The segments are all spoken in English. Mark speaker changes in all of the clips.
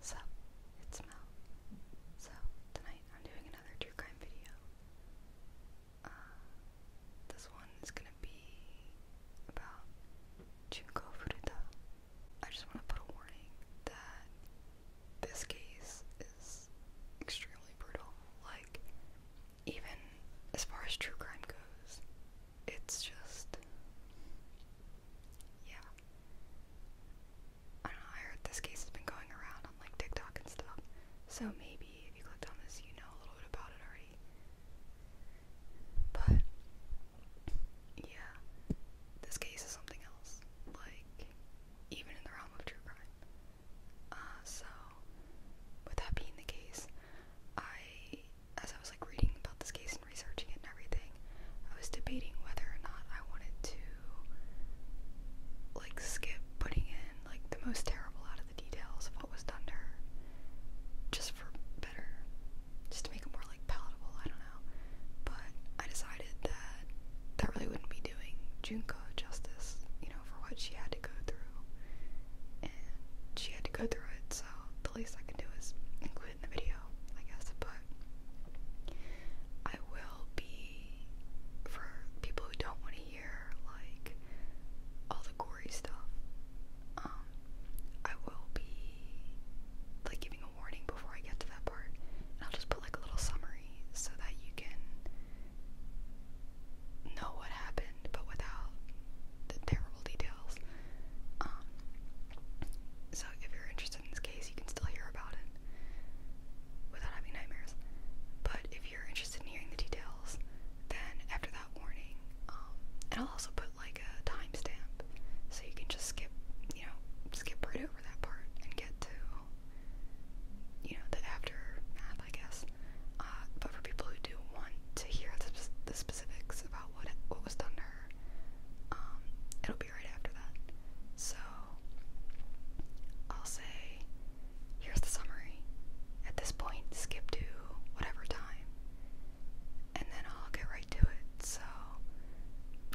Speaker 1: So, it's Mel. So, tonight I'm doing another true crime video. Uh, this one is gonna be about Junko Furuta. I just want to put a warning that this case is extremely brutal. Like, even as far as true crime goes, it's just yeah. I heard this case has been going around on like TikTok and stuff. So maybe if you clicked on this, you know a little bit about it already. But yeah, this case is something else. Like even in the realm of true crime. Uh, so with that being the case, I as I was like reading about this case researching it and everything, I was debating whether or not I wanted to like skip putting in like the most terrible out of the details of what was done to her just for better just to make it more like palatable I don't know but I decided that that really wouldn't be doing Junko justice you know for what she had to go through and she had to go through it so the least I can do is include in the video, I guess, but I will be for people who don't want to hear like all the gory stuff. Um, I will be like giving a warning before I get to that part, and I'll just put like a little summary so that you can know what happened, but without the terrible details. Um, so if you're interested in this case, you can still hear about it without having nightmares. But if you're interested in hearing the details, then after that warning, um, and I'll also put like a timestamp so you can just skip, you know, skip right over that part and get to, you know, the aftermath, I guess. Uh, but for people who do want to hear the specifics about what what was done to her. Um, it'll be right after that. So I'll say here's the summary. At this point, skip to whatever time. And then I'll get right to it. So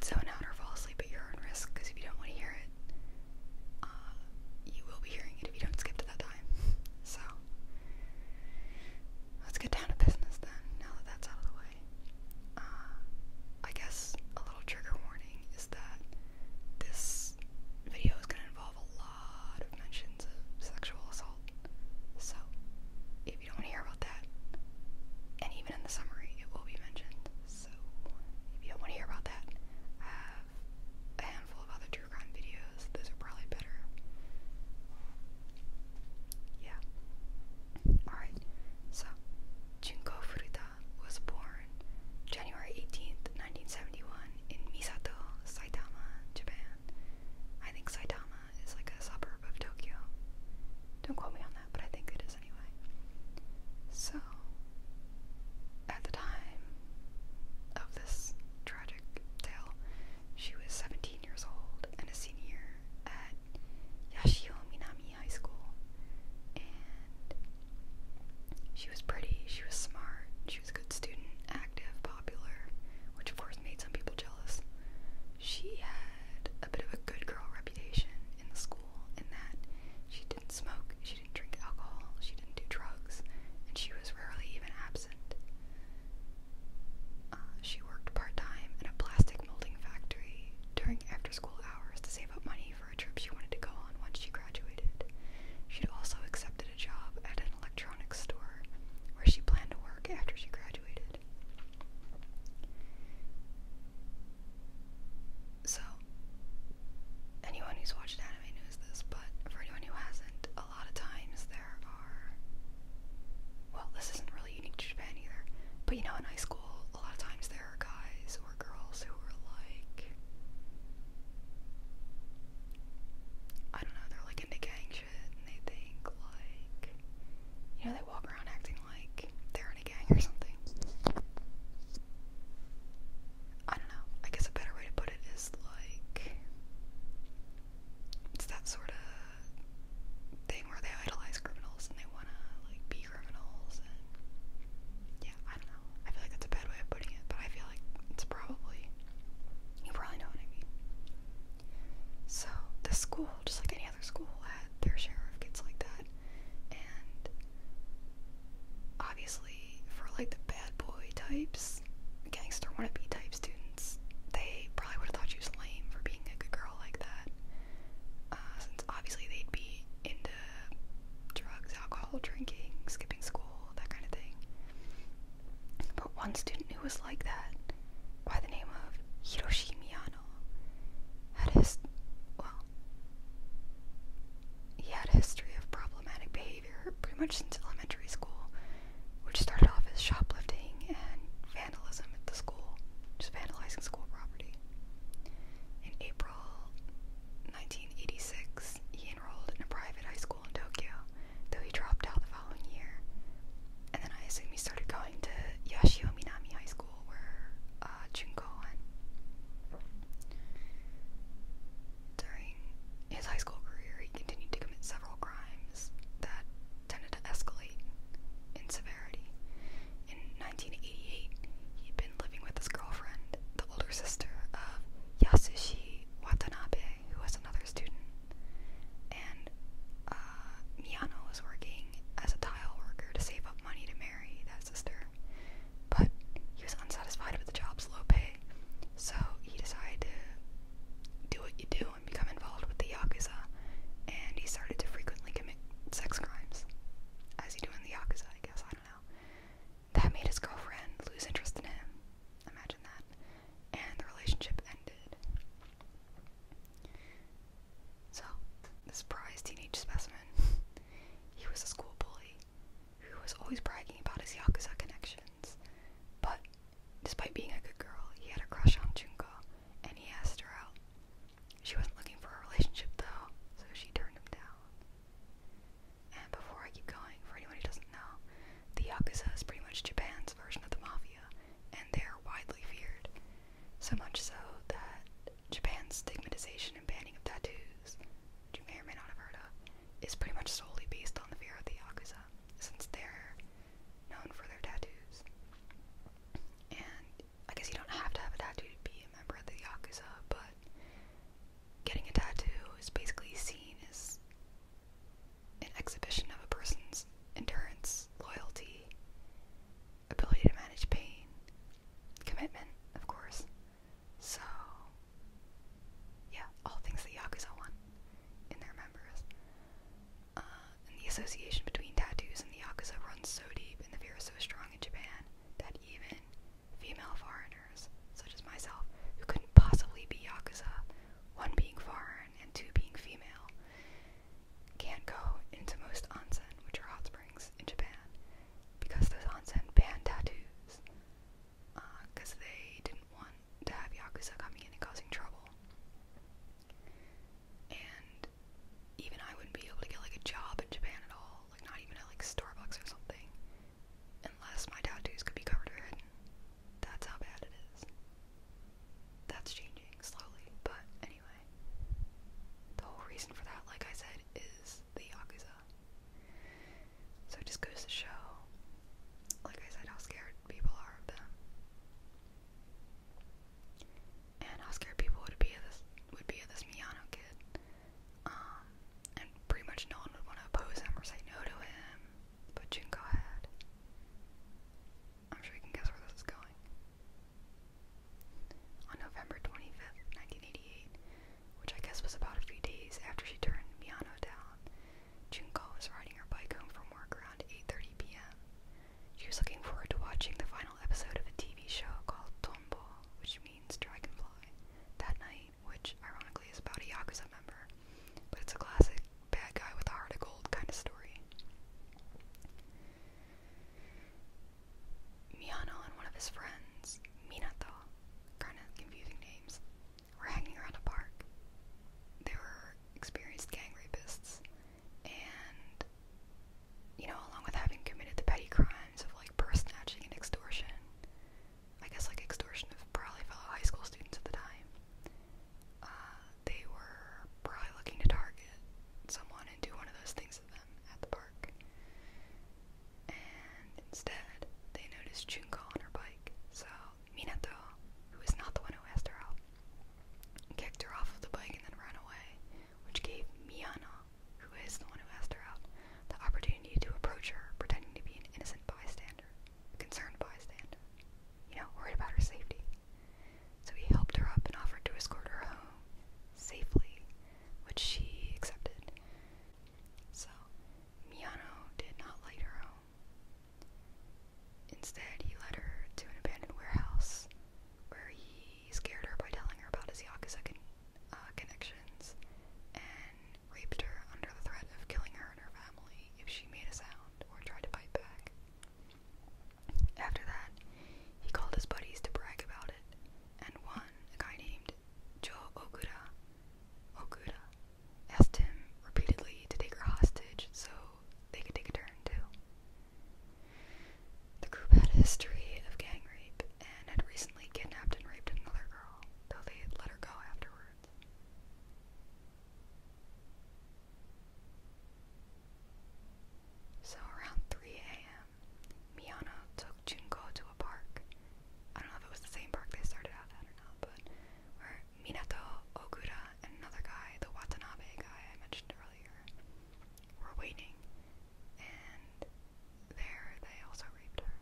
Speaker 1: zone out or fall asleep at your own risk because if you don't want to hear it, uh, you will be hearing it if you don't skip to that time. So let's get down to business then, now that that's out of the way. Uh, I guess a little trigger warning is that this video is going to involve a lot of mentions of sexual assault. So, if you don't want to hear about that, and even in the summary, it will be mentioned. So, if you don't want to hear about that, a handful of other true crime videos. Those are probably better. Yeah. Alright, so Junko Furuta was born January 18th, 1971, in Misato, Saitama, Japan. I think Saitama is like a suburb of Tokyo. Don't quote me on that, but I think it is anyway. So, at the time of this tragic tale, she was 17 years old and a senior at at Yashio Minami High School, and she was pretty, she was smart, she was a good student, active, popular, which of course made some people jealous. She had a bit of a good girl reputation in the school in that she didn't smoke, she didn't drink alcohol, she didn't do drugs, and she was rarely even absent. Uh, she worked part time in a plastic molding factory during after school hours to save up money for a trip she wanted to go on once she graduated. She'd also accepted a job at an electronics store where she planned to work after she graduated. So, anyone who's watched anime knows this, but for anyone who hasn't, a lot of times there are. Well, this isn't really unique to Japan either, but you know, in high school school, a lot of times there are guys or girls who are like, I don't know, they're like into gang shit and they think like, you know, they walk around acting like they're in a gang or something. I don't know, I guess a better way to put it is like, it's that sort of thing where they idolize criminals and they want to like be criminals and yeah, I don't know. I feel like that's a bad way of putting it, but I feel like it's probably you probably know what I mean. So this school, just like any other school, had their share of kids like that, and obviously for like the bad boy types, gangster wannabe type students, they probably would have thought she was lame for being a good girl like that uh, since obviously they'd be into drugs, alcohol, drinking, skipping school, that kind of thing. But one student who was like that, by the name of Hiroshi Miyano, had his well, he had a history of problematic behavior pretty much since elementary school, which started off as shoplifting and vandalism at the school, just vandalizing school property. In April 1986, he enrolled in a private high school in Tokyo, though he dropped out the following year. And then I assume he started going to Yashio Minami High School, where uh, Junko During his high school career, he continued to commit several crimes that tended to escalate in severity. In 1988, he'd been living with his girlfriend, the older sister of Yasushi Watanabe, who was another student, and uh, Miyano was working as a tile worker to save up money to marry that sister. But he was unsatisfied with the job's low pay, so he decided to do what you do and become involved with the Yakuza, and he started to frequently sex crimes, as you do the Yakuza, I guess, I don't know. That made his girlfriend lose interest in him. Imagine that. And the relationship ended. So, this prize teenage specimen, he was a school bully who was always bragging about his Yakuza connections. But despite being a good girl, he had a crush on Junko, and he asked her out. She wasn't looking for a relationship though, so she turned him down. And before I keep going, for anyone who doesn't know, the Yakuza is pretty much Japan's version of the mafia, and they're widely feared. So much so that Japan's stigmatization and banning of tattoos, which you may or may not have heard of, is pretty much solely based on the fear of the Yakuza, since they're known for their tattoos. And I guess you don't have to have a tattoo to be a member of the Yakuza, but getting a tattoo is basically seen as an exhibition of a person's endurance, loyalty, ability to manage pain, commitment, of course. So, yeah, all things that Yakuza want in their members. Uh, and the association between tattoos and the yakuza runs so deep, and the fear is so strong in Japan that even female foreigners, such as myself, who couldn't possibly be yakuza, one being foreign and two being female, can't go into most onsen, which are hot springs in Japan, because those onsen ban tattoos, because uh, they didn't want to have yakuza coming in and causing trouble. And even I wouldn't be able to get like a job in Japan at all, like not even at like Starbucks or something, unless my tattoos could be covered or hidden. That's how bad it is. That's changing slowly, but anyway. The whole reason for that, like I said, is the Yakuza. So it just goes to show, like I said, how scared people are of them and how scared people would be of this would be of this Miyano kid. Um, and pretty much no one would want to oppose him or say no to him. But Junko had. I'm sure you can guess where this is going. On November 25th, 1988, which I guess was about a few days after she turned Miyano down, Junko was riding her bike home from work around 8.30 p.m. She was looking forward to watching the final episode of a TV show called Tombo, which means dragonfly, that night, which ironically is about a Yakuza member, but it's a classic bad guy with a heart of gold kind of story. Miyano and one of his friends, Minato, kind of confusing names, were hanging around a park. They were experienced gang rapists, and you know, along with having committed the petty crimes of like purse snatching and extortion. I guess like extortion of probably fellow high school students at the time. Uh, they were probably looking to target someone and do one of those things to them at the park. And instead, they noticed Junko on her bike. So Minato, who is not the one who asked her out, kicked her off of the bike and then ran away which gave Miana, who is the one who asked her out, the opportunity to approach her pretending to be an innocent bystander, concerned bystander, you know, worried about her safety. So he helped her up and offered to escort her home safely, which she accepted. So, Miano did not light her home. Instead, he led her to an abandoned warehouse where he he scared her by telling her about his Yakuza uh, connections and raped her under the threat of killing her and her family if she made a sound or tried to fight back. After that, he called his buddies to brag about it, and one, a guy named Joe Okuda, Okuda asked him repeatedly to take her hostage so they could take a turn too. The group had a history of gang rape and had recently kidnapped and raped another girl, though they let her go afterwards. So around 3 a.m., Miyano took Junko to a park. I don't know if it was the same park they started out at or not, but where Minato Ogura and another guy, the Watanabe guy I mentioned earlier, were waiting, and there they also raped her.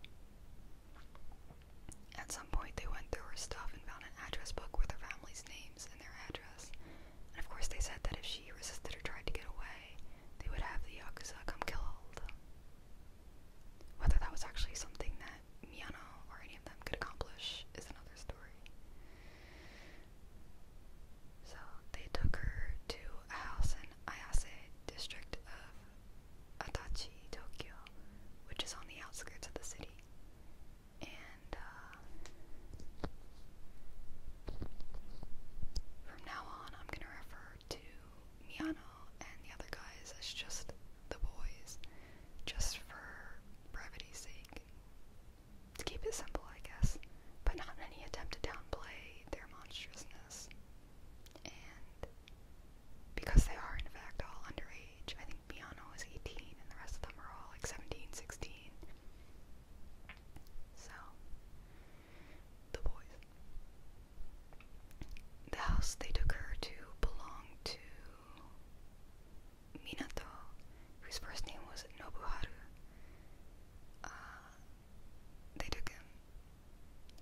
Speaker 1: At some point, they went through her stuff and found an address book with her family's names and their address. And of course, they said that if she resisted or tried to get away, they would have the Yakuza come kill her. Whether that was actually something that Miyano or any of them could accomplish is another story. So they took her to a house in Ayase district of Adachi, Tokyo, which is on the outskirts of the city. And uh, from now on, I'm going to refer to Miano and the other guys as just the boys, just for brevity's sake to keep it simple, I guess, but not any attempt to downplay their monstrousness. And because they are, in fact, all underage, I think Miano is 18 and the rest of them are all like 17, 16. So, the boys. The house they took her to belonged to Minato, whose first name was Nobuharu, uh, they took him,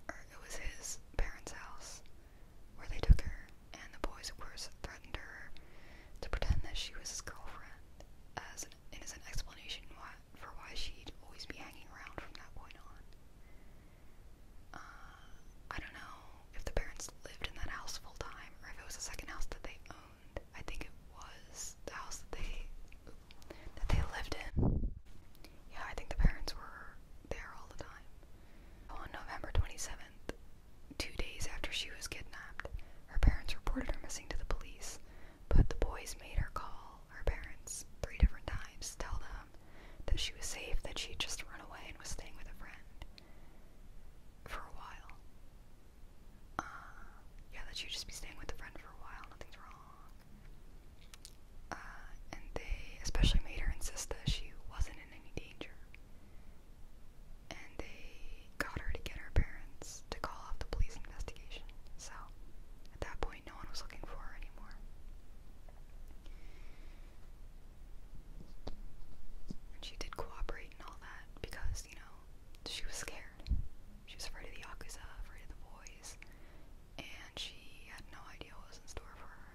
Speaker 1: or it was his parents' house where they took her, and the boys, of course, threatened her to pretend that she was his girlfriend as an innocent explanation why, for why she'd always be hanging around from that point on. Uh, I don't know if the parents lived in that house full time or if it was a second house that they owned. I think it was the house that they that they lived in. Yeah, I think the parents were there all the time. On November 27th, two days after she was kidnapped, her parents reported her missing to the police, but the boys made her call her parents three different times to tell them that she was safe, that she had just run away and was staying with a friend for a while. Uh, yeah, that you just be staying with a friend for a while, nothing's wrong. Uh, and they especially made her insist that she wasn't in any danger. And they got her to get her parents to call off the police investigation. So, at that point, no one was looking for her anymore. And she did cooperate and all that because you know, she was scared. She was afraid of the Yakuza, afraid of the boys, and she had no idea what was in store for her.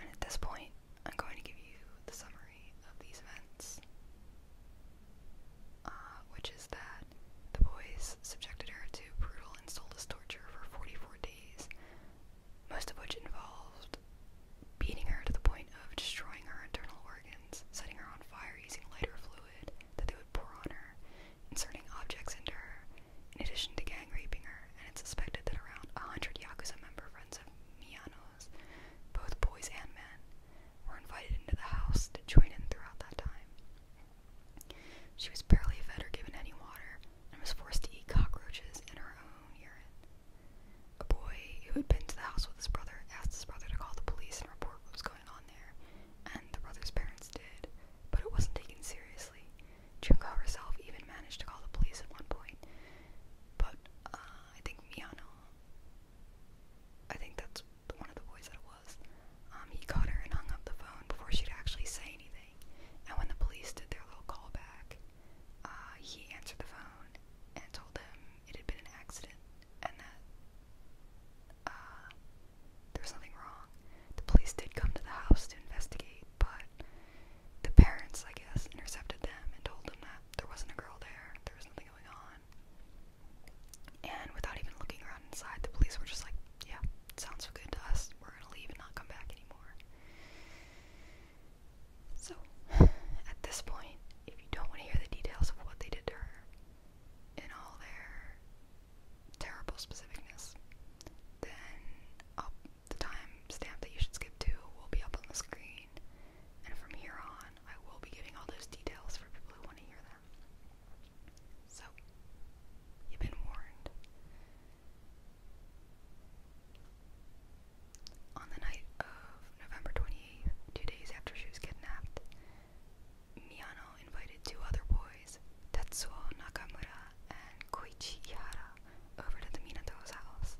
Speaker 1: And at this point, I'm going to give you the summary of these events, uh, which is that the boys subjected her to brutal and soulless torture for 44 days, most of which involved beating her to the point of destroying her internal organs, setting her on fire using lighter fluid that they would pour on her, inserting objects into her, in addition to gang raping her, and it's suspected that around 100 Yakuza member friends of Miano's, both boys and men, were invited into the house to join in throughout that time. She was barely fed or given any water, and was forced to eat cockroaches in her own urine. A boy who had been to the house with his brother asked his brother to call the police and report what was going on there, and the brother's parents did, but it wasn't taken seriously. Junko herself even managed to call the police at one point, but uh, I think Miyano, I think that's one of the boys that it was, um, he caught her and hung up the phone before she'd actually say anything. And when the police did their little callback, uh, he answered the phone and told them it had been an accident and that uh, nothing wrong. The police did come to the house to investigate, but the parents, I guess, intercepted them and told them that there wasn't a girl there, there was nothing going on. And without even looking around inside, the police were just like, yeah, sounds so good to us, we're gonna leave and not come back anymore. So, at this point, if you don't want to hear the details of what they did to her, in all their terrible specificness, then oh, the time that you should skip to will be up on the screen. And from here on, I will be giving all those details for people who want to hear them. So, you've been warned. On the night of November 28th, two days after she was kidnapped, Miyano invited two other boys, Tetsuo Nakamura and Koichi Ihara, over to the Minato's house.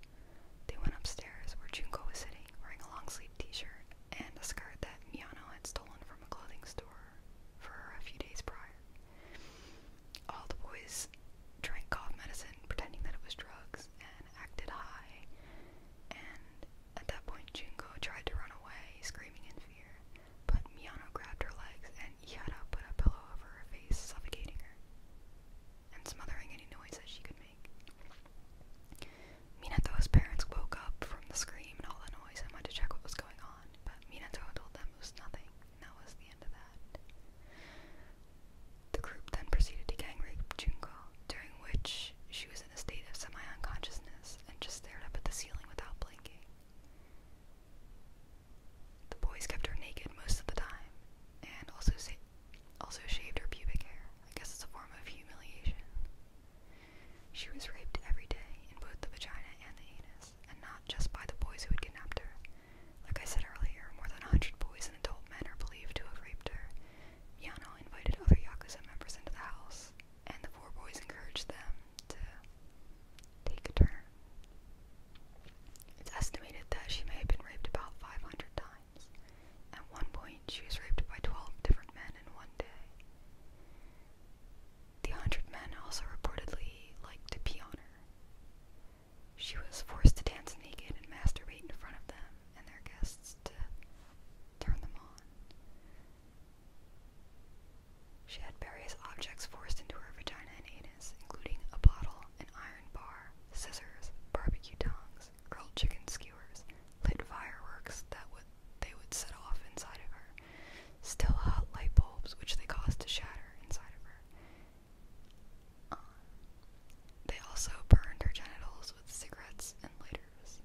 Speaker 1: They went upstairs where Junko was sitting, wearing a long sleeve t shirt and a skirt that Miyano had stolen from a clothing store for a few days prior. All the boys drank cough medicine, pretending that it was drugs, and acted high, at that point, Junko tried to run away, screaming in fear, but Miyano grabbed her legs and Ihara put a pillow over her face, suffocating her and smothering any noise that she could make. Minato's parents woke up from the scream and all the noise and went to check what was going on, but Minato told them it was nothing, and that was the end of that. The group then proceeded to gang rape Junko, during which she was in a state of semi unconsciousness and just stared up at the ceiling without blinking. The boys kept her naked most of the time and also, also shaved her pubic hair. I guess it's a form of humiliation. She was raped every day in both the vagina and the anus, and not just by the boys who had kidnapped her. Like I said earlier, more than 100 boys and adult men are believed to have raped her. Yano invited other Yakuza members into the house, and the four boys encouraged them to take a turn. It's estimated that she may have been raped about 500 times. At one point, she was raped by 12 different men in one day. The 100 men also reportedly liked to pee on her. She was forced to dance naked and masturbate in front of them and their guests to turn them on. She had various objects forced into her vagina and anus, including a bottle, an iron bar, scissors, barbecue tongs, grilled chicken skewers, lit fireworks that would they would set off inside of her, still hot light bulbs which they caused to shatter inside of her. Um, they also burned her genitals with cigarettes and lighters.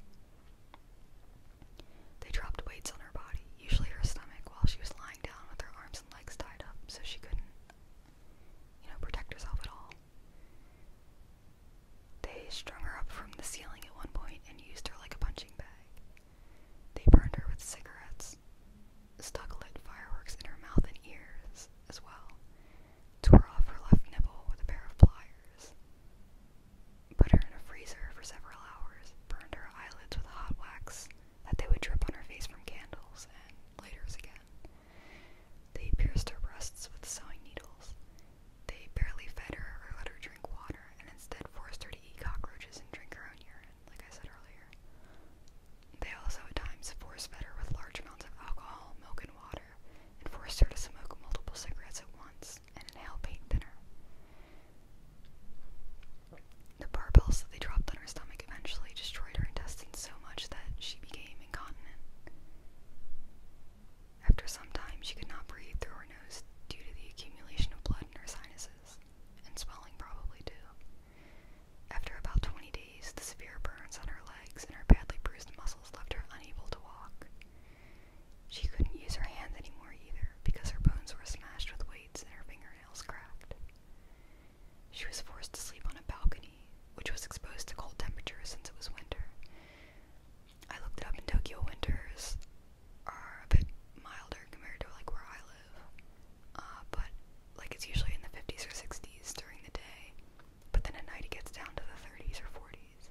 Speaker 1: They dropped weights on her body, usually her stomach, while she was lying down with her arms and legs tied up so she couldn't, you know, protect herself at all. They strung her up from the ceiling at one point and used her like a punching bag. They burned her with cigarettes, stuck lit fireworks in her mouth and ears as well, tore off her left nipple with a pair of pliers, put her in a freezer for several hours, burned her eyelids with hot wax that they would drip on her face from candles and lighters again. They pierced her breasts with sewing needles. They barely fed her or let her drink water and instead forced her to eat cockroaches and drink her own urine, like I said earlier. They also at times force fed her with large amounts of alcohol, milk, and water, and forced her to smoke multiple cigarettes at once and an hellbait thinner. The barbells that they dropped on her stomach eventually destroyed her intestines so much that she became incontinent. After some time, she could not breathe through her nose due to the accumulation of blood in her sinuses, and swelling probably too. After about 20 days, the severe burns on her legs and her badly bruised muscles left her unable to walk. She couldn't use her hands anymore either because her bones were smashed with weights and her fingernails cracked. She was forced to sleep on a balcony, which was exposed to cold temperatures since it was winter. I looked it up, and Tokyo winters are a bit milder compared to like where I live, uh, but like it's usually in the 50s or 60s during the day, but then at night it gets down to the 30s or 40s degrees.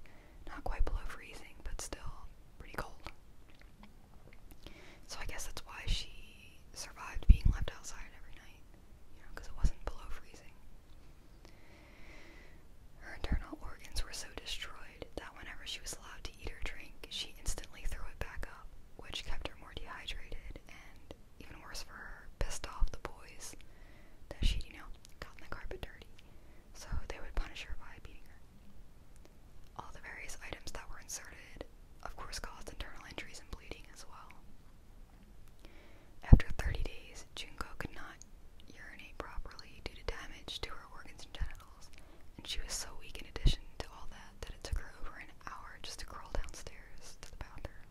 Speaker 1: Not quite below freezing, but still pretty cold. So I guess that's why she survived being left outside every night, you know, because it wasn't below freezing. Her internal organs were so destroyed that whenever she was allowed to eat or drink, she instantly threw it back up, which kept her more dehydrated and, even worse for her, pissed off the boys that she'd, you know, gotten the carpet dirty so they would punish her by beating her. All the various items that were inserted, of course, caused internal injuries and bleeding as well. After 30 days, Junko could not urinate properly due to damage to her organs and genitals, and she was so weak in addition to all that that it took her over an hour just to crawl downstairs to the bathroom.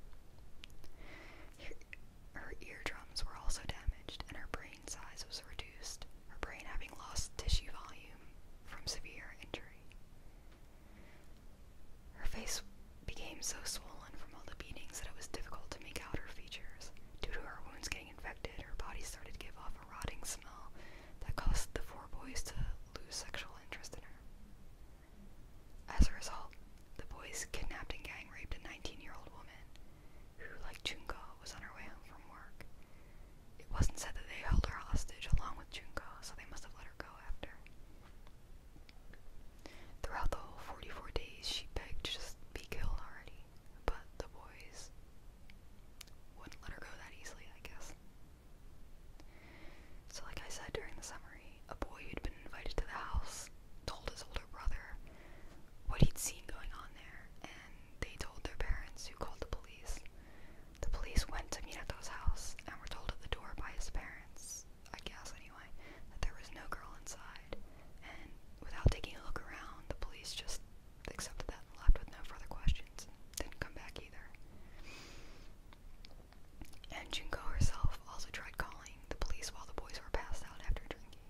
Speaker 1: her eardrums were also damaged, and her brain brain size was reduced, her brain having lost tissue volume from severe injury. Her face became so swollen from all the beatings that it was difficult to make out her features. Due to her wounds getting infected, her body started to give off a rotting smell that caused the four boys to lose sexual interest in her. As a result, the boys kidnapped and gang raped a 19 year old woman who, like Junko, was on her way home from work. It wasn't said that they held her hostage along with Junco, so they must have let her go after. Throughout the whole 44 days, she begged to just be killed already, but the boys wouldn't let her go that easily, I guess. So, like I said during the summary, a boy who'd been invited to the house told his older older brother what he'd seen going on there, and they told their parents, who called the police. The police went to Minato's house and were told at the door by his parents, I guess anyway, that there was no girl inside. And without taking a look around, the police just accepted that and left with no further questions. Didn't come back either. And Junko herself also tried calling the police while the boys were passed out after drinking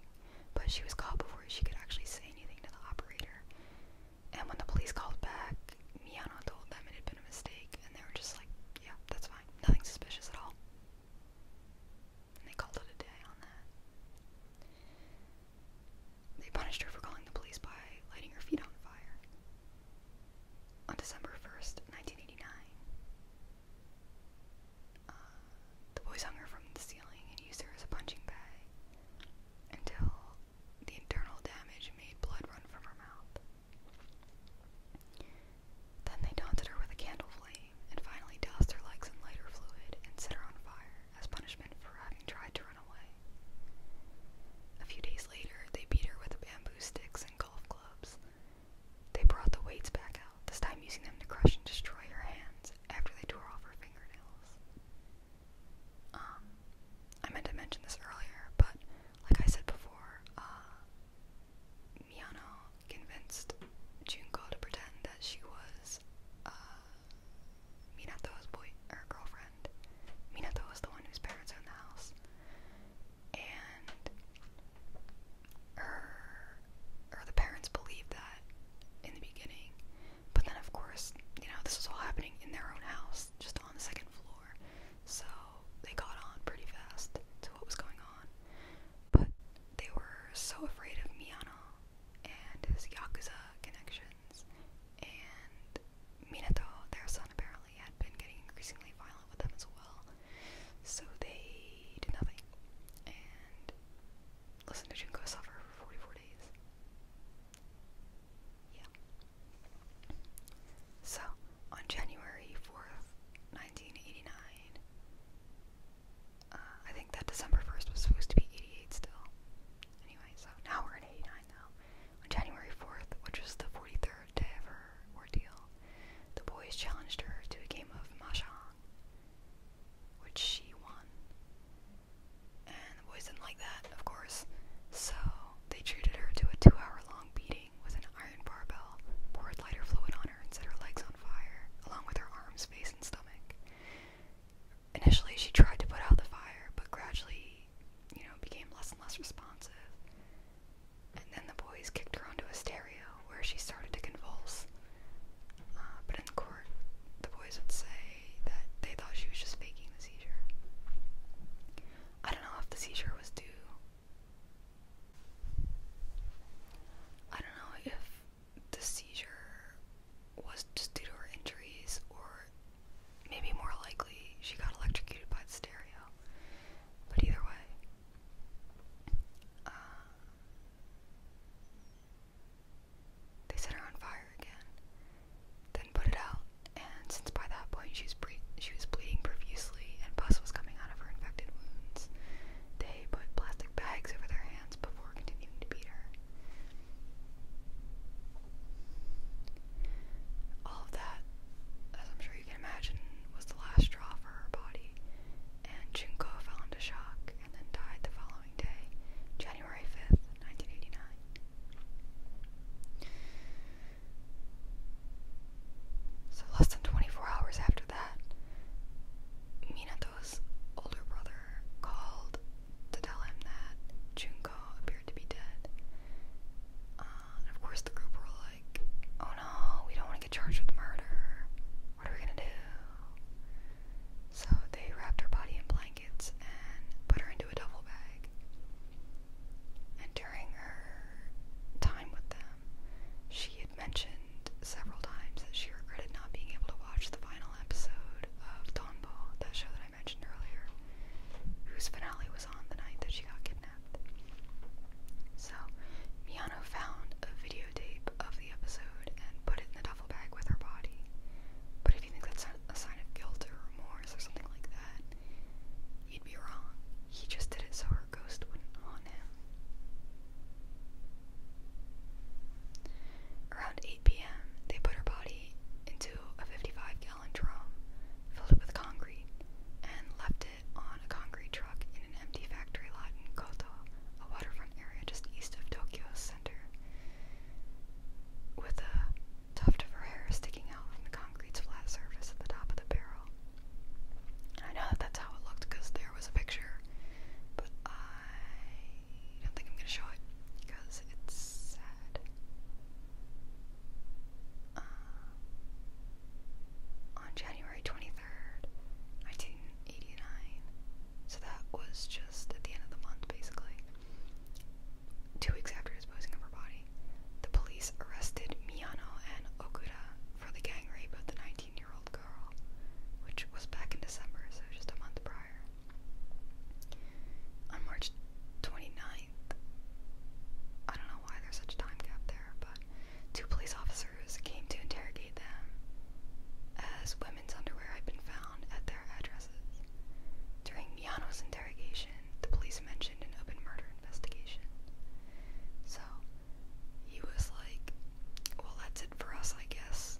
Speaker 1: but she was caught before she could actually say anything to the operator. And when the police called back, Miano told them it had been a mistake, and they were just like, yeah, that's fine, nothing suspicious at all. And they called it a day on that. They punished her for calling the police by lighting her feet on fire. On December 1st, 1989, the boys hung her from the ceiling and used her as a punching bag until the internal damage made blood run from her mouth. Then they taunted her with a candle flame and finally doused her legs in lighter fluid and set her on fire as punishment for having tried to run away. A few days later, they beat her with bamboo sticks and golf clubs. They brought the weights back out, this time using them to crush and destroy her hands after they tore off her fingernails. Um, I meant to mention this earlier, but like I said before, uh, convinced Junko to pretend that she was uh, Minato's boy or er, girlfriend. Minato was the one whose parents are the house, and her or the parents believed that in the beginning. But then, of course, you know, this was all happening in their own house, just on the second floor. So they got on pretty fast to what was going on. But they were so afraid of Miyano and his Yakuza connections. And Minato, their son, apparently had been getting increasingly violent with them as well. So they did nothing. And Listen to Junko suffer for 44 days. Yeah. So, on January 4th, 1989, uh, I think that December 1st was supposed to be 88 still. Anyway, so now we're at 89 now. On January 4th, which was the 43rd day of her ordeal, the boys challenged her to a game of Mahjong which she won. And the boys didn't like that, of course, so they treated her to a two hour long beating with an iron barbell, poured lighter fluid on her, and set her legs on fire, along with her arms, face, and stomach. Initially, she tried to put out the fire, but gradually, you know, became less and less responsive. And then the boys kicked her onto a stereo where she started to convulse. Uh, but in court, the boys would say that they thought she was just faking the seizure. I don't know if the seizure was due. I don't know if the seizure was just due to her injuries, or maybe more likely she got electrocuted by the stereo. But either way, uh, they set her on fire again, then put it out, and since by that point she was, she was bleeding profusely and pus was coming out of her infected wounds, they put plastic bags over their hands before continuing to beat her. All of that, as I'm sure you can imagine, was the last straw for her body, and Junko fell into shock and then died the following day, January 5th, 1989. So, less than 24 hours after that, Minato's older brother called to tell him that Junko appeared to be dead. Uh, and of course, the group were like, oh no, we don't want to get charged with murder. What are we gonna do? So they wrapped her body in blankets and put her into a duffel bag. And during her time with them, she had mentioned several times that she regretted not being able to watch the final episode of Dawn Ball, that show that I mentioned earlier, whose finale was on the night that she got kidnapped. So, Miano found a video videotape of the episode and put it in the duffel bag with her body. But if you think that's a sign of guilt or remorse or something like that, you'd be wrong. He just did it so her ghost wouldn't haunt him. Around 8 p.m., they put her body into a 55 gallon drum, filled it with concrete, and left it on a concrete truck in an empty factory lot in Koto, a waterfront area just east of Tokyo's with a tuft of her hair sticking out from the concrete's flat surface at the top of the barrel. I know that that's how it looked because there was a picture, but I don't think I'm going to show it because it's sad. Um, on January 23rd, 1989, so that was just at the end of the month, basically. Two weeks after disposing of her body, the police arrested Miyano and Okuda for the gang rape of the 19 year old girl, which was back in December, so just a month prior. On March 29th, I don't know why there's such a time gap there, but two police officers came to interrogate as women's underwear had been found at their addresses. During Miyano's interrogation, the police mentioned an open murder investigation. So he was like, well, that's it for us, I guess.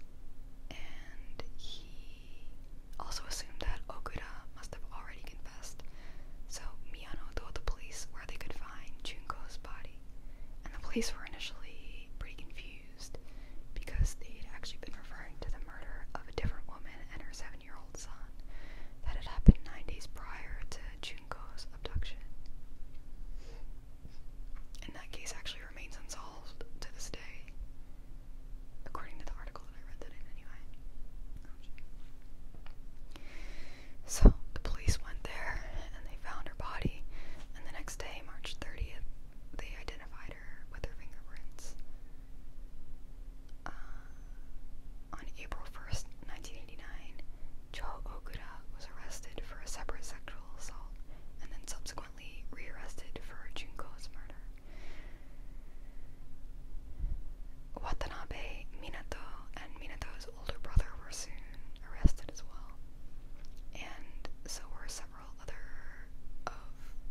Speaker 1: And he also assumed that Okuda must have already confessed. So Miyano told the police where they could find Junko's body. And the police were initially pretty confused confused because they'd actually been referring to the murder of a different woman and her seven year old son that had happened nine days prior to Junko's abduction. And that case actually remains unsolved to this day, according to the article that I read that in, anyway. Ouch. So the police went there and they found her body, and the next day, March 30th, they identified uh, on April 1st, 1989, Cho Okuda was arrested for a separate sexual assault and then subsequently rearrested for Junko's murder. Watanabe, Minato, and Minato's older brother were soon arrested as well, and so were several several other of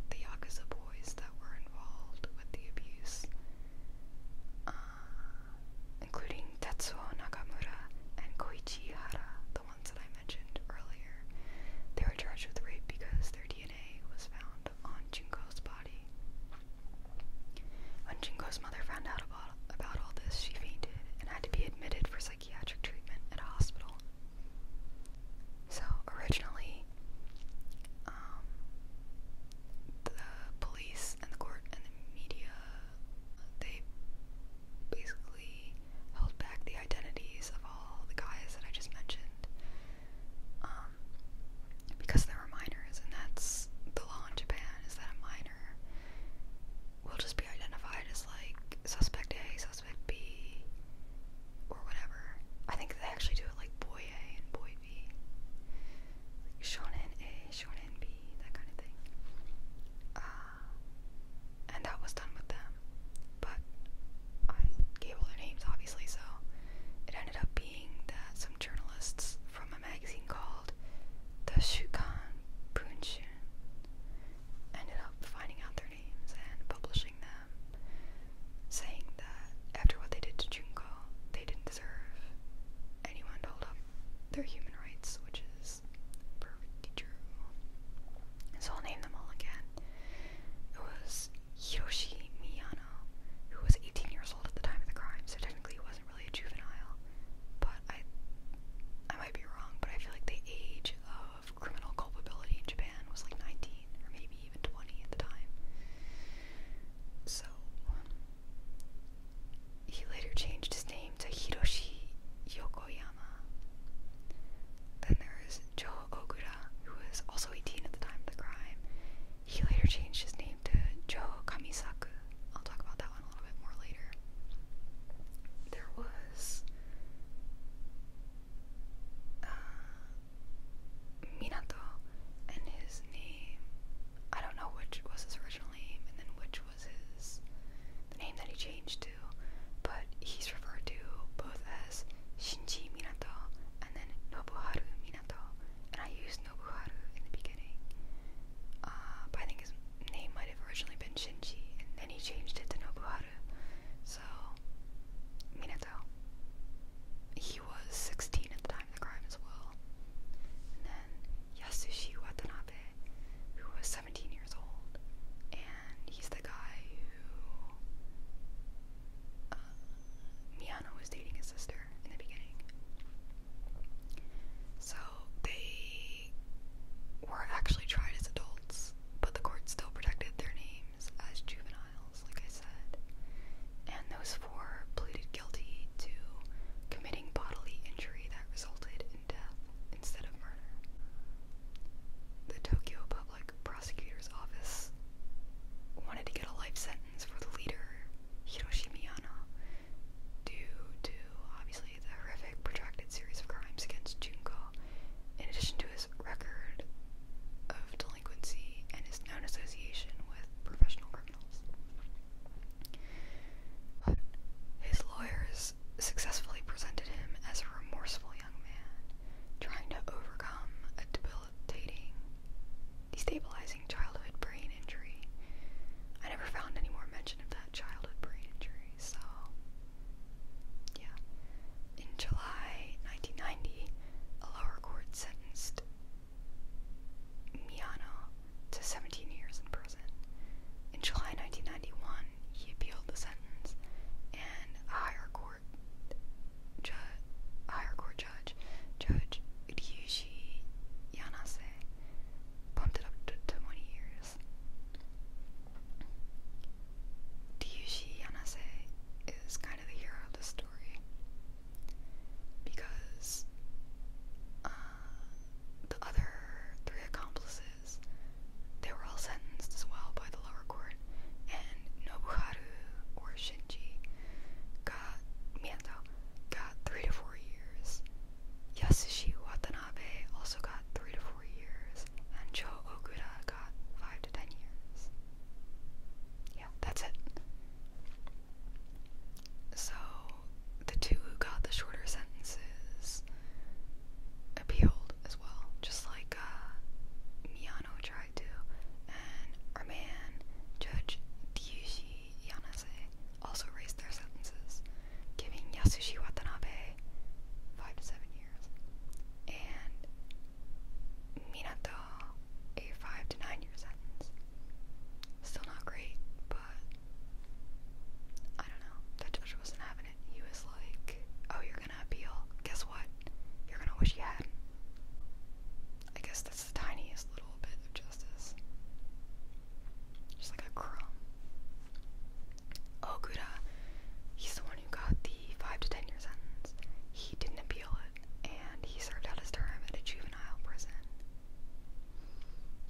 Speaker 1: the Yakuza boys that were involved with the abuse, uh, including Tetsuo Nakamura and Koichi Hara, the ones that I mentioned earlier. They were charged with rape because their DNA was found on Junko's body. When Junko's mother found out about, all this, she fainted and had to be admitted for psychiatric psychiatric treatment at a hospital. So originally, um, the police and the court and the media, they basically held back the identities of all the guys that I just mentioned um, because they were minors, and that's the law in Japan is that a minor will just be identified as like suspect A, suspect B, or whatever. I think they actually do it like boy A and boy B, shonen A, shonen B, that kind of thing. Uh, and that was done with them, but I gave all their names obviously, so it ended up being that some journalists from a magazine called the Shukan Bunshun ended up finding out their and publishing them, saying that after what they did to Junko, they didn't deserve anyone to hold up their human rights, which is perfectly true. So I'll name them all again. It was Hiroshi Miyano, who was 18 years old at the time of the crime, so technically he wasn't really a juvenile. But I I might be wrong, but I feel like the age of criminal culpability in Japan was like 19 or maybe even 20 at the time. So he later changed his name to Hiroshi Yokoyama. Then there is Joe Ogura, who was also 18 at the time of the crime. He later changed his name to Joe Kamisaku. I'll talk about that one a little bit more later there was uh, Minato and his name. I don't know which was his original name and then which was his the name that he changed to, but he's referred to both as Shinji Minato and then Nobuharu Minato. And I used Nobuharu in the beginning, uh, but I think his name might have originally been Shinji, and then he changed it to Nobuharu. So, Minato. He was 16 at the time of the crime as well. And then Yasushi Watanabe, who was 17 years old. And he's the guy who. Uh, Miyano was dating his sister in the beginning. So, they were actually tried as adults, but the court still protected their names as juveniles, like I said. And those four pleaded guilty to committing bodily injury that resulted in death instead of murder. The Tokyo Public Prosecutor's Office wanted to get a life sentence for the leader, Hiroshi Miyano, due to obviously the horrific protracted series of crimes against Junko in addition to his record of delinquency and his known association with professional criminals. his lawyers successfully presented him as a remorseful young man trying to overcome a debilitating, destabilizing childhood brain injury. I never found any more mention of that childhood brain injury, so yeah. In July 1990, a lower court sentenced Miano to 17 years in prison. In July 1991, he appealed the sentence, and a higher court judge, Judge Ryushi Yanase, bumped it up to 20 years. Ryushi Yanase is kind of the hero of the story because uh, the other three accomplices they were all sentenced as well by the lower court, and Nobuharu or Shinji got Miyato got three to four years. Yasushi Watanabe also got three to four years, and Joe Okuda got five to ten years. Yeah, that's it. So the two who got the shorter sentences appealed as well, just like uh, Miyano tried to, and our man Judge Diushi Yanase also raised their sentences, giving Yasushi Watanabe five to seven years, and Minato a five to nine year sentence. Still not great, but I don't know. That judge wasn't having it. He was like, "Oh, you're gonna appeal? Guess what? You're gonna wish you had I guess that's the tiniest little bit of justice. Just like a crumb. Ogura, he's the one who got the 5 to 10 year sentence. He didn't appeal it, and he served out his term at a juvenile prison.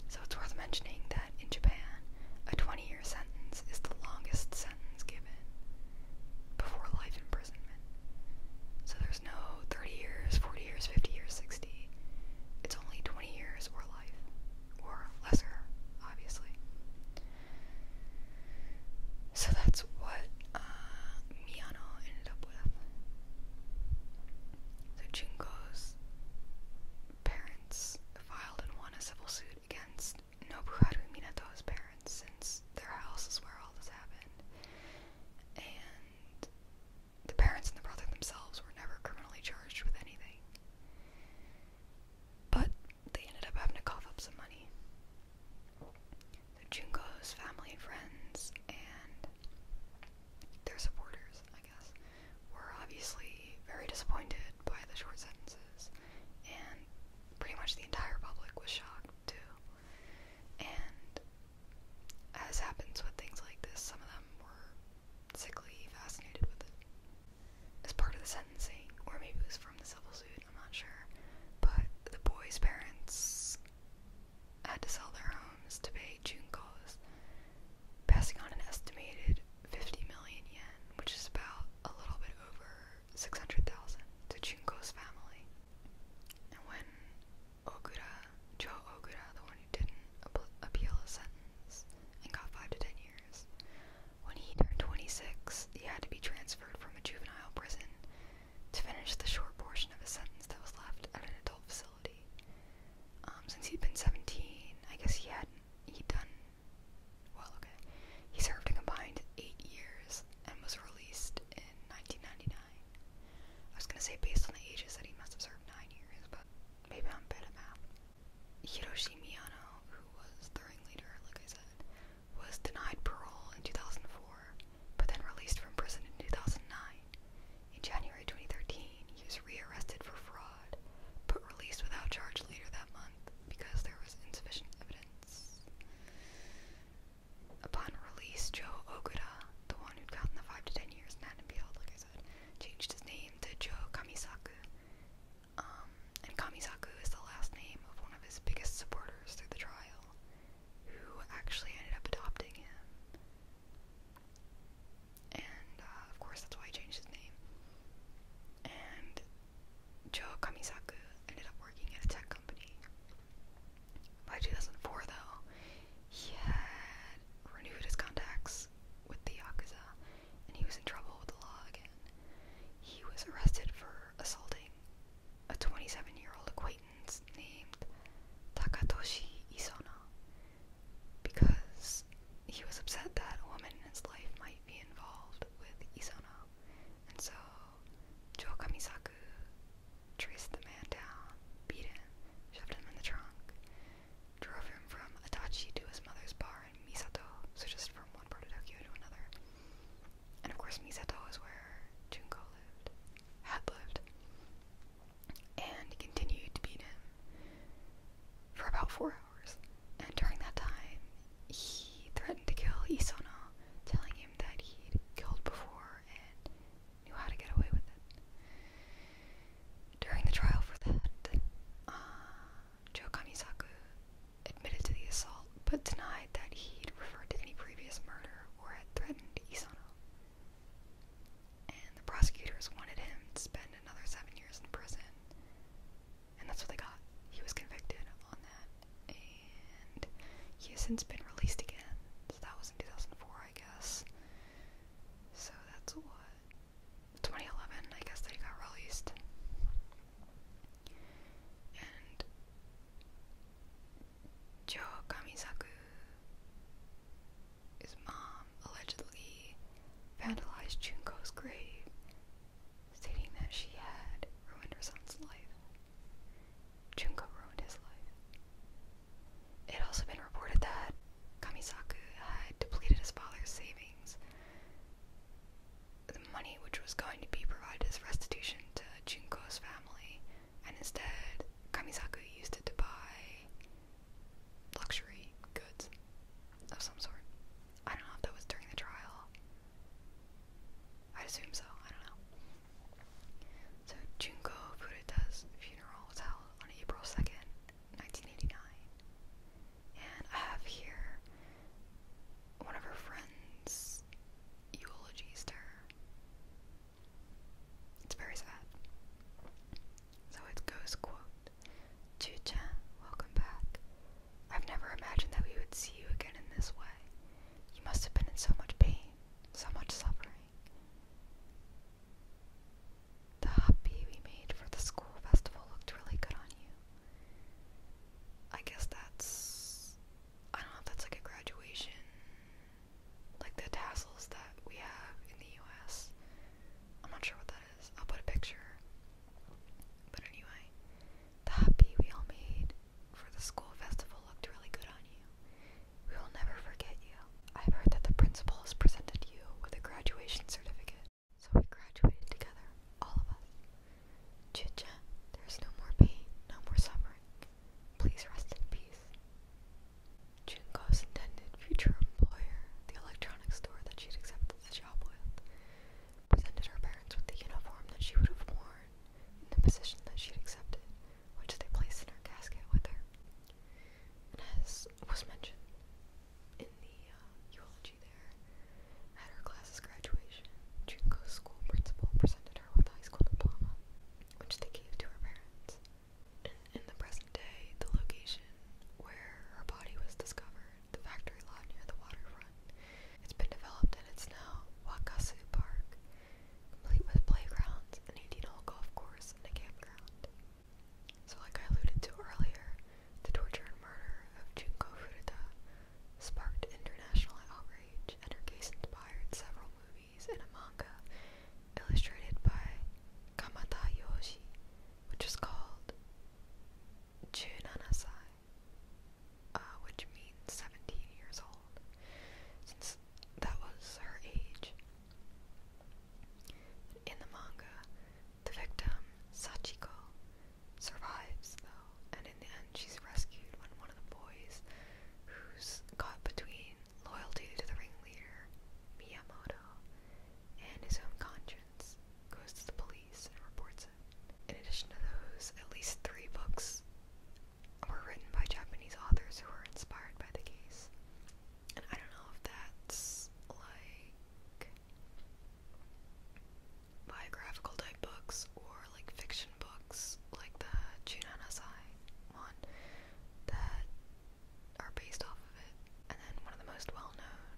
Speaker 1: So it's worth mentioning that in Japan, a 20 year sentence is the longest sentence given before life imprisonment. So there's no 30 years, 40 years, 50 years, 60. It's only 20 years or life or lesser, obviously. So that's what uh, Miano ended up with. So Junko's parents filed and won a civil suit against Nobuharu Minato's parents since their house is where all this happened. And the parents and the brother themselves were never criminally charged with anything. But they ended up having to cough up some money. So Junko's family and friends and their supporters, I guess, were obviously very disappointed by the short sentences, and pretty much the entire public was shocked too. And as happens with things like this, some of them were sickly fascinated with it as part of the sentencing, or maybe it was from the civil suit, I'm not sure. But the boys' parents had to sell their homes to pay Junko's, passing on an estimated 50 million yen, which is about a little bit over 600,000 to Junko's family. And when Ogura, Joe Ogura, the one who didn't appeal his sentence and got 5 to 10 years. When he turned 26, he had to be transferred from a juvenile prison to finish the short portion of his sentence that was left at an adult facility. Um, since he'd been 17, I guess he hadn't he'd done well. Okay, he served a combined eight years and was released in 1999. I was gonna say based on the ages that he must have served nine years, but maybe I'm bad at math. Hiroshi Miyano, who was the ring leader, like I said, was denied parole in 2004, but then released from prison in 2009. In January 2013, he was rearrested for fraud, but released without charge later that month because there was insufficient evidence. Upon release, Joe Ogura, the one who'd gotten the 5 to 10 years in Annapeel, like I said, changed his name to Joe Kamisaku um, and Kamisaku is the last name of one of his biggest supporters through the trial, who actually ended up adopting him. And uh, of course, that's why he changed his name. And Joe Kamisaku ended up working at a tech company. By 2004, though, he had renewed his contacts with the Yakuza and he was in trouble with the law again. He was arrested for assaulting a 27 year old acquaintance named Takatoshi Isona because he was upset that a woman in his life might be involved with Isona. And so Joe Kamisaku traced the man down, beat him, shoved him in the trunk, drove him from Adachi to his mother's bar in Misato, so just from one part of Tokyo to another, and of course, Misato is where Junko lived, had lived, and he continued to beat him for about four hours. And during that time, he threatened to kill Isono, telling him that he'd killed before and knew how to get away with it. During the trial for that, uh, Joe Kamisaku admitted to the assault but denied that he'd referred to any previous murder or had threatened Isano. And the prosecutors wanted him to spend another seven years in prison. And that's what they got. He was convicted on that. And he has since been released again. So that was in 2004, I guess. So that's what? 2011, I guess, that he got released and Jo Kamisaku, his mom, allegedly vandalized Junko's grave, stating that she had ruined her son's life. Junko ruined his life. It had also been reported that Kamisaku had depleted his father's savings the money which was going to be provided as restitution to Junko's family, and instead Kamisaku used it to buy luxury goods of some sort. I don't know if that was during the trial. I assume so, I don't know. So Junko Furuta's funeral was held on April 2nd, 1989. And I have here one of her friends eulogized her. It's very sad. So it goes, quote, Chucha, welcome back. I've never imagined that we would see you again in this way. You must have been in so much pain, so much suffering. The hobby we made for the school festival looked really good on you. I guess that's I don't know if that's like a graduation like the tassels that we have in the US. I'm not sure what that is. I'll put a picture. But anyway, the happy we all made for the school festival looked really good on you. We will never forget you. I've heard that the principal has presented you with a graduation certificate. So we graduated together, all of us. Chicha, there's no more pain, no more suffering. Please rest in peace. Junko's intended future employer, the electronics store that she'd accepted the job with, presented her parents with the uniform that she would have worn in the position that she'd accepted, which they placed in her casket with her. as was mentioned in uh, eulogy there at her class's graduation. Junko's school principal presented her with a high school diploma, which they gave to her parents. In, in the present day, the location where her body was discovered, the factory lot near the waterfront, it's been developed and it's now Wakasu Park, complete with playgrounds, an 18-hole golf course, and a campground. So, like I alluded to earlier, the torture and murder of Junko Furuta sparked international outrage, and her case inspired several movies and a manga illustrated by Kamata Yoshi, which is called Junanasai, uh, which means 17 years old, since that was her age. In the manga, the victim, Sachiko, survives though, and in the end, she's rescued when one of the boys, who's caught between loyalty to the ringleader Miyamoto and his own conscience, goes to the police and reports it. In addition to those, at least three books were written by Japanese authors who were inspired by the case, and I don't know if that's like biographical type books or like fiction books like the Junanasai one that are based off of it. And then one of the most well known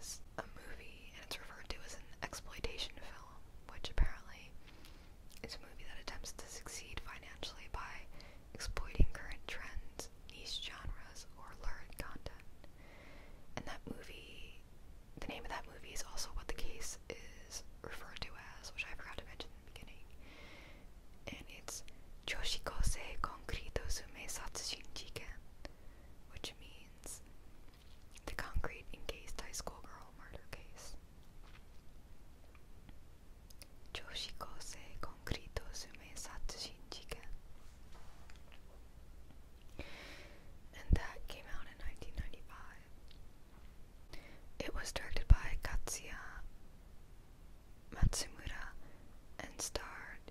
Speaker 1: is a movie and it's referred to as an exploitation film, which apparently is a movie that attempts to succeed financially by exploiting current trends, niche genres, or lurid content. And that movie the name of that movie is also what the case is referred to as, which I forgot to mention in the beginning. And it's Joshikose Concrete Sume Satsujin Jiken, which means the concrete encased high school girl murder case. Joshikose Concrete Sume Satsujin Jiken and that came out in 1995. It was directed by Katsuya Matsumura and starred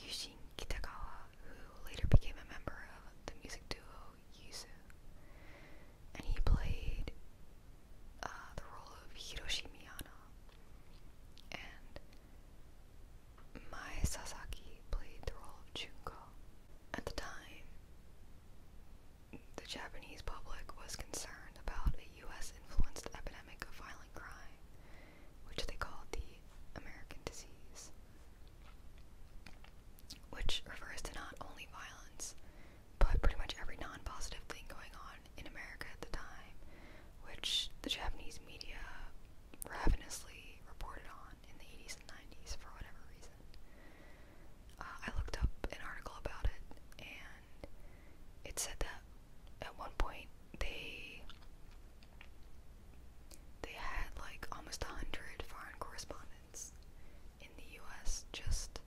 Speaker 1: Yushin Kitagawa, who later became a member of the music duo Yuzu. And he played uh, the role of Hiroshi Miyano. And Mai Sasaki played the role of Junko. At the time, the Japanese public was concerned about a U.S. influenced epidemic of violent crime, which they called the American disease, which refers to not only violence, but pretty much every non positive thing going on in America at the time, which the Japanese media ravenously reported on in the 80s and 90s for whatever reason. Uh, I looked up an article about it, and it said that at one point they they had like almost a hundred foreign correspondents in the U.S. just,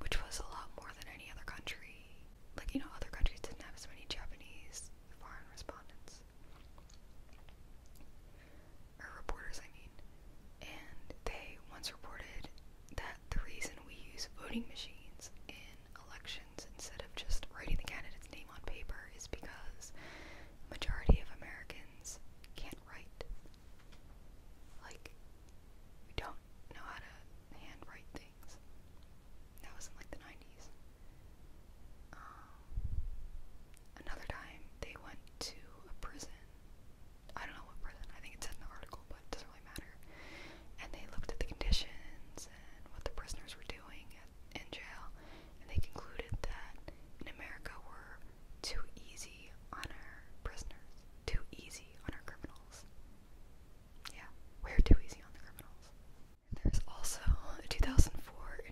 Speaker 1: which was a lot more than any other country. Like you know, other countries didn't have as many Japanese foreign respondents or reporters, I mean, and they once reported that the reason we use voting machines in elections instead of just writing the candidate's name on paper is because majority of Americans can't write. Like, we don't know how to handwrite things. That was in like the 90s. Um, Another time, they went to a prison. I don't know what prison. I think it said in the article, but it doesn't really matter. And they looked at the conditions and what the prisoners were doing at, in jail, and they concluded that in America we're too easy on our prisoners, too easy on our criminals. Yeah, we're too easy on the criminals. There's also a 2004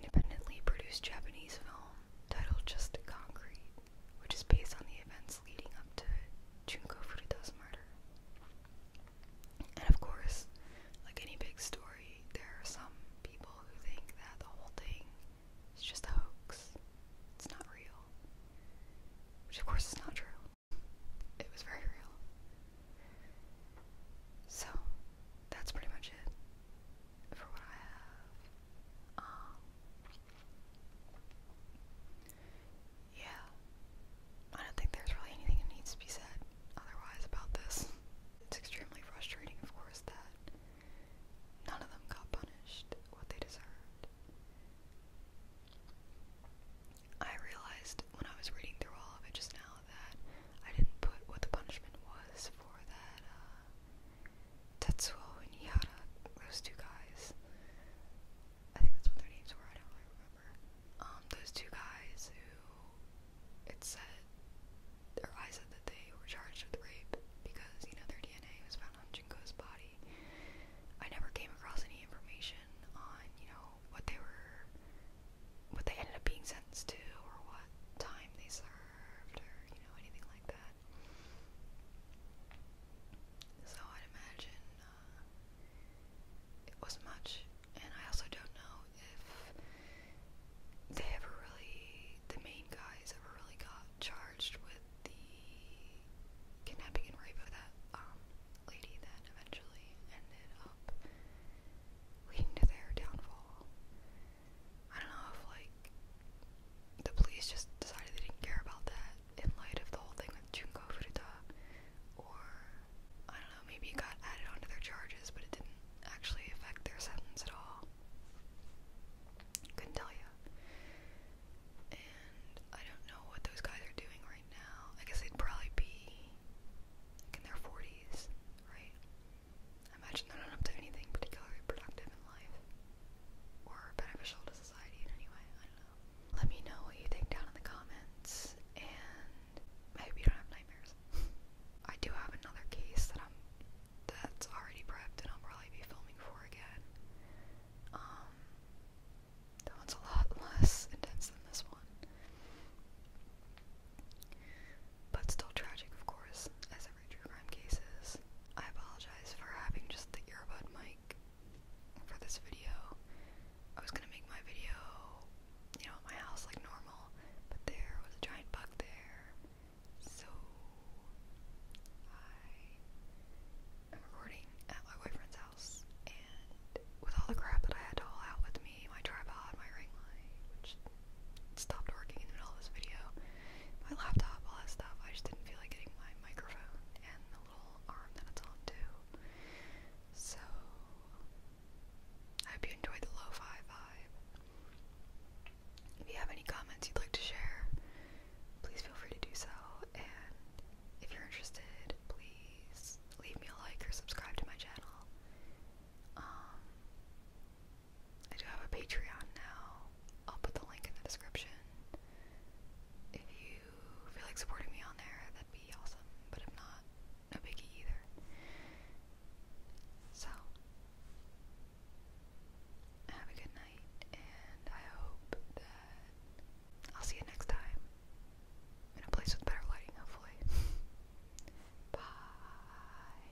Speaker 1: independently produced Japanese film Title: Just Concrete, which is based on the events leading up to Junko Furuta's murder. And of course, like any big story, there are some people who think that the whole thing is just a hoax. It's not real. Which, of course, is not true. It was very real. So, that's pretty much it for what I have. Um, yeah, I don't think there's really anything that needs to be said otherwise about this. It's extremely frustrating, of course, that none of them got punished what they deserved. I realized when I was reading through all of it just now that I didn't put what the punishment was for that uh, Tetsuo and Yada, those two guys. I think that's what their names were, I don't remember. Um, those two guys who it said or I said that they were charged with rape because, you know, their DNA was found on Jinko's body. I never came across any information on, you know, what they were what they ended up being sentenced to or what time they served curved or, you know, anything like that. So I'd imagine uh, it wasn't much. And I also don't know if they ever really, the main guys ever really got charged with the kidnapping and rape of that um, lady that eventually ended up leading to their downfall. I don't know if like the police just decided they didn't care about that in light of the whole thing with Junco Furuta, or I don't know, maybe it got added onto their charges, but it didn't actually affect their sentence at all. Couldn't tell you. And I don't know what those guys are doing right now. I guess they'd probably be in their 40s, right? I imagine they're not up to anything particularly productive in life or beneficial to society in any way. I don't know. Let me know what you think down in the comments, and I you don't have nightmares. I do have another case that I'm that's already prepped, and I'll probably be filming for again. Um, that one's a lot less intense than this one, but still tragic, of course, true crime cases. I apologize for having just the earbud mic for this video. I was gonna make my video, you know, at my house like normal, but there was a giant bug there. So I am recording at my boyfriend's house and with all the crap that I had to haul out with me, my tripod, my ring light, stopped working in the middle of this video. My laptop, all that stuff. I just didn't feel like getting my microphone and the little arm that it's on too. So I hope you enjoyed the lo-fi vibe. If you have any comments you'd like to share, please feel free to do so. And if you're interested, please leave me a like or subscribe to my channel. Um, I do have a Patreon now. I'll put the link in the description. If you feel like supporting me on there, that'd be awesome. But if not, no biggie either. So, have a good night, and I hope that I'll see you next time in a place with better lighting, hopefully. Bye.